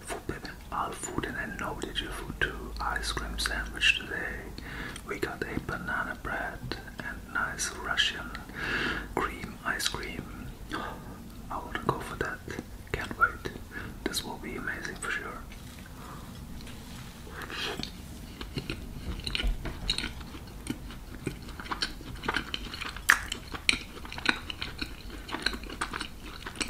Forbidden all food and I know that you food too. Ice cream sandwich today. We got a banana bread and nice Russian cream ice cream. I want to go for that. Can't wait. This will be amazing for sure.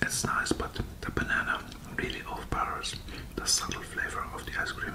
It's nice, but the banana really overpowers the subtle flavor of the ice cream.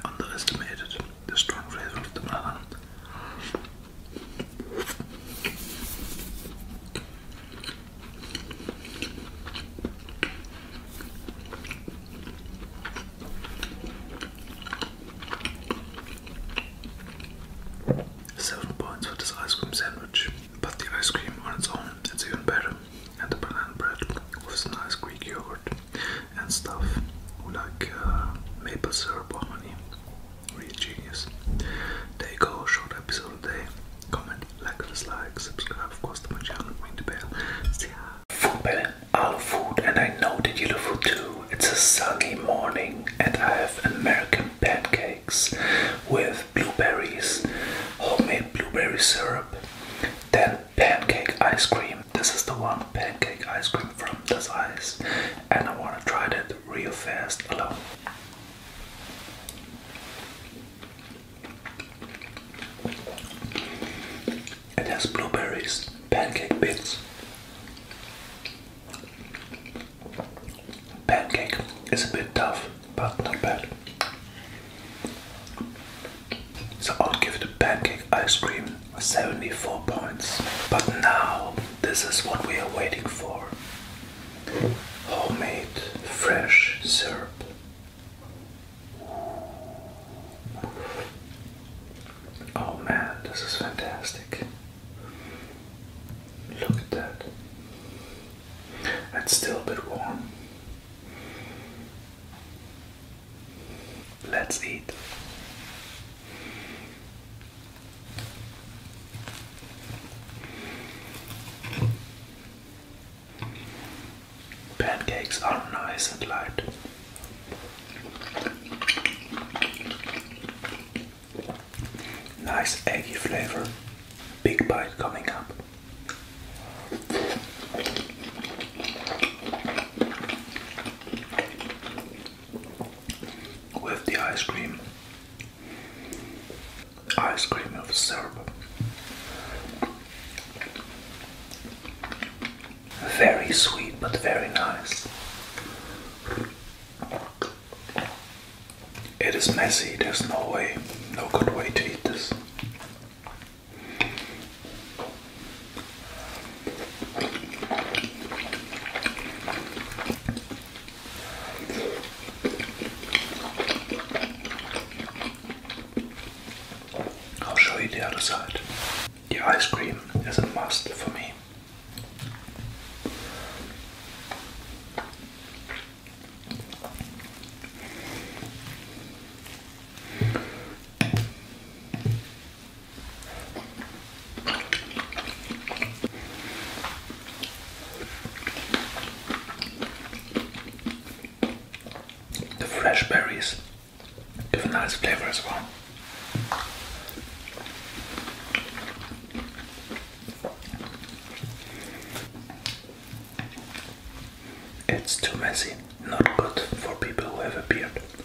I underestimated the strong flavor of the banana. Seven points for this ice cream sandwich, but the ice cream on its own is even better, and the banana bread with some nice Greek yogurt and stuff, like uh, maple syrup or honey. Really genius. There you go, short episode day. Comment, like, dislike, subscribe, of course, to my channel, ring the bell. See ya. Food Bell, I love food, and I know that you love food too. It's a sunny morning, and I have American pancakes with blueberries, homemade blueberry syrup, then pancake ice cream. This is the one pancake ice cream from the size and I want to try that real fast alone. It has blueberries, pancake bits. Pancake is a bit tough, but not bad. So I'll give it a pancake ice cream 74 points. But now, this is what we are waiting for homemade fresh syrup. Oh man, this is fantastic. Look at that. It's still a bit warm. Let's eat. Pancakes are nice and light. Nice eggy flavor. Big bite coming up with the ice cream, ice cream of syrup. Very sweet, but very nice. It is messy, there's no way, no good way to eat this. I'll show you the other side. The ice cream is a must for me. The fresh berries give a nice flavor as well. It's too messy, not good for people who have a beard.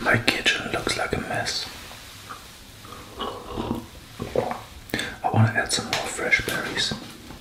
My kitchen looks like a mess. I want to add some more fresh berries.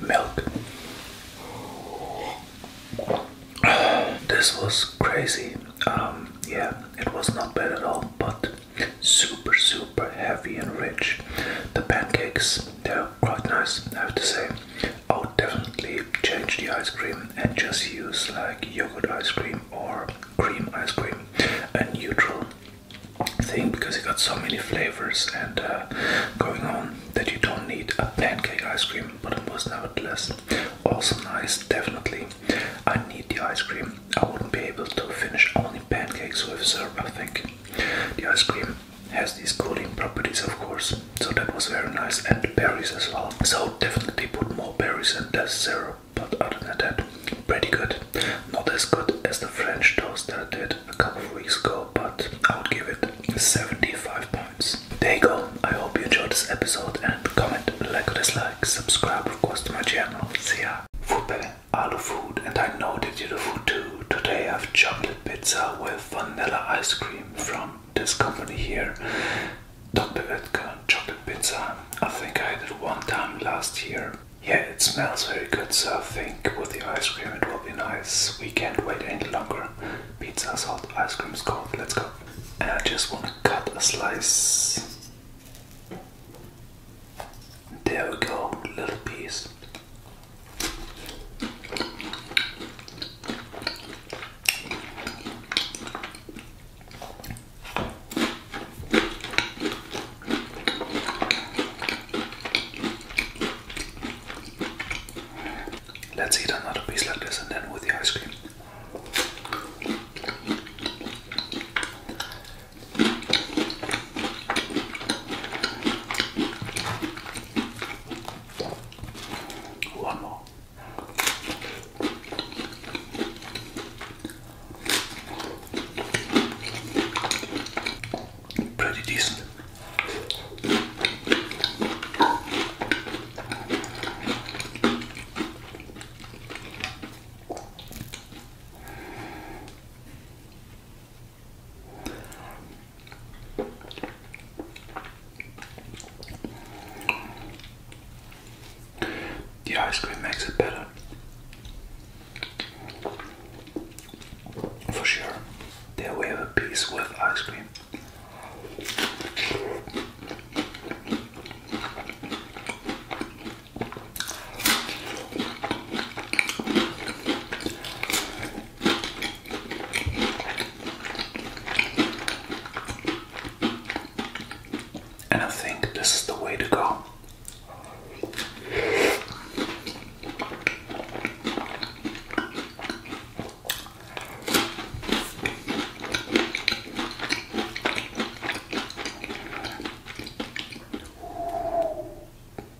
Milk. This was crazy. Um, yeah, it was not bad at all, but super, super heavy and rich. The pancakes, they're quite nice, I have to say. I would definitely change the ice cream and just use like yogurt ice cream or cream ice cream, a neutral thing because it got so many flavors and uh, going on that you don't need a pancake ice cream, but it was nevertheless also nice. Definitely, I need the ice cream. I wouldn't be able to finish only pancakes with syrup. I think the ice cream has these cooling properties, of course, so that was very nice and berries as well so definitely put more berries in the syrup but other than that pretty good not as good as the french toast that i did a couple of weeks ago but i would give it 75 points there you go i hope you enjoyed this episode and comment like or dislike subscribe of course to my channel see ya all alu food and i know that you do food too today i have chocolate pizza with vanilla ice cream from this company here. Dr. Oetker chocolate pizza. I think I had it one time last year. Yeah, it smells very good, so I think with the ice cream it will be nice. We can't wait any longer. Pizza's hot, ice cream's cold, let's go. And I just want to cut a slice. There we go, little piece. Let's eat another piece like this and then with the ice cream. One more. Pretty decent. The ice cream makes it better. For sure. There we have a piece with ice cream. And I think this is the way to go.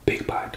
Big bite.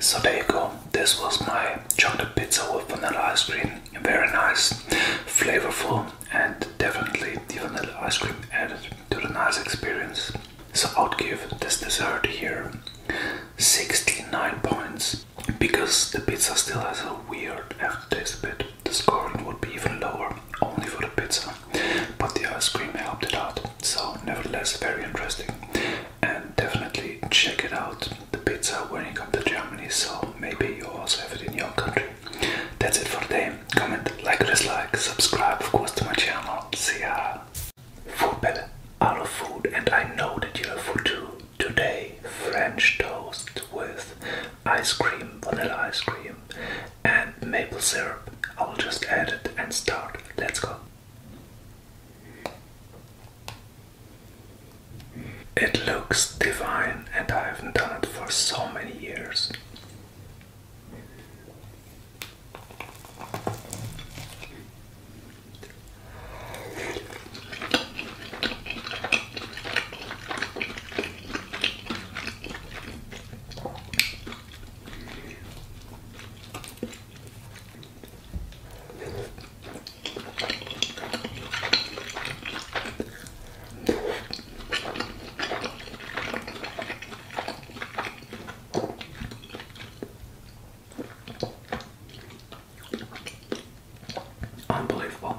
So there you go. This was my chocolate pizza with vanilla ice cream. Very nice, flavorful, and definitely the vanilla ice cream added to the nice experience. So I would give this dessert here 69 points because the pizza still has a weird aftertaste a bit. The scoring would be even lower only for the pizza but the ice cream helped it out. So, nevertheless, very interesting, and definitely check it out. The pizza when you come to Germany. So maybe you also have it in your country. That's it for today. Comment, like, dislike, subscribe, of course, to my channel. See ya. Food better. I love food, and I know that you have food too. Today, French toast with ice cream, vanilla ice cream, and maple syrup. I'll just add it and start. Let's go. It looks divine, and I haven't done it for so many years. Unbelievable.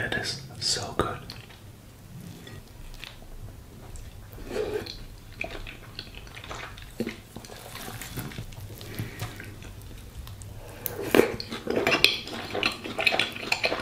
It is so good.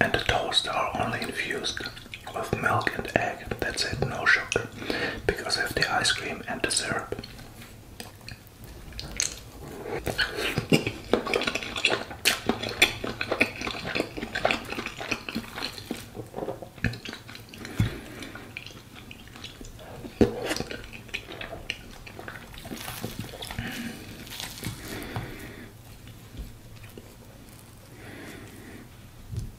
And the toast are only infused with milk and eggs. That's it, no sugar, because I have the ice cream and the syrup.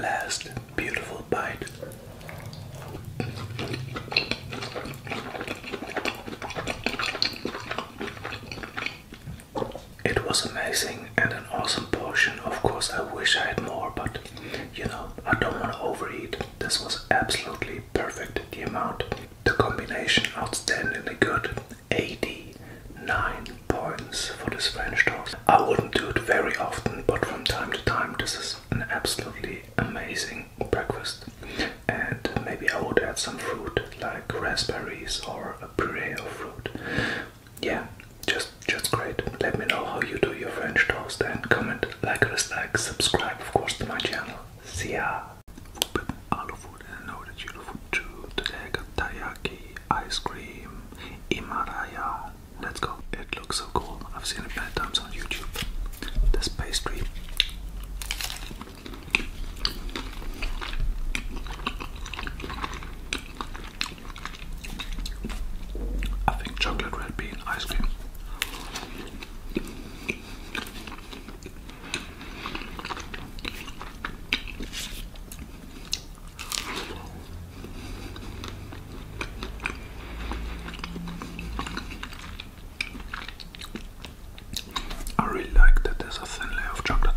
Last beautiful bite. It was amazing and an awesome portion. Of course, I wish I had more, but you know, I don't want to overeat. This was absolutely perfect. The amount, the combination outstandingly good. 89 points for this French toast. I wouldn't do it very often, but from time to time, this is an absolutely amazing breakfast. And maybe I would add some fruit like raspberries or a puree of fruit. Yeah, just just great. Let me know how you do your French toast and comment, like, dislike, subscribe, of course, to my channel. See ya! I love food and know that you love food too. Today got taiyaki ice cream, Himalaya. Let's go. It looks so cool. I've seen it many times on YouTube. This pastry. I think chocolate red bean ice cream. I really like that there's a thin layer of chocolate.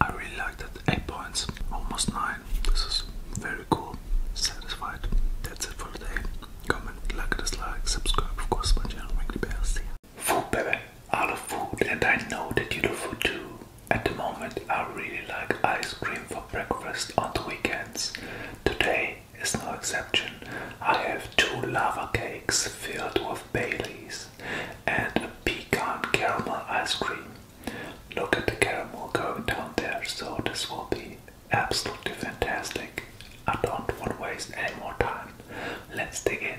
I really like that. 8 points, almost 9. This is very cool. Satisfied. That's it for today. Comment, like, dislike, subscribe, of course, my channel, ring the bell. Food, baby. I of food, and I know that you love food too. At the moment, I really like ice cream for breakfast on the weekends. Today is no exception. I have two lava cakes filled with Baileys and a pecan caramel ice cream. Look at the caramel going down there, so this will be absolutely fantastic. I don't want to waste any more time. Let's dig in.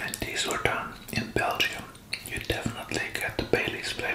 And these were done in Belgium you definitely get the Bailey's flavor.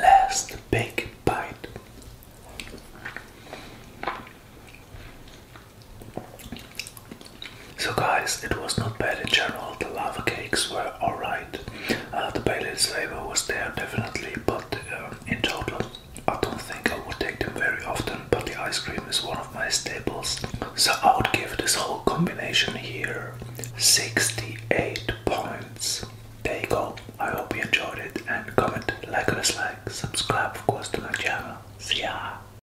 Last big bite. So, guys, it was not bad in general. The lava cakes were alright. Uh, the Bailey's flavor was there definitely, but uh, in total, I don't think I would take them very often. But the ice cream is one of my staples. So, I would give this whole combination here 68 points. There you go. I hope you enjoyed it and comment, like or dislike, subscribe, of course, to my channel. See ya!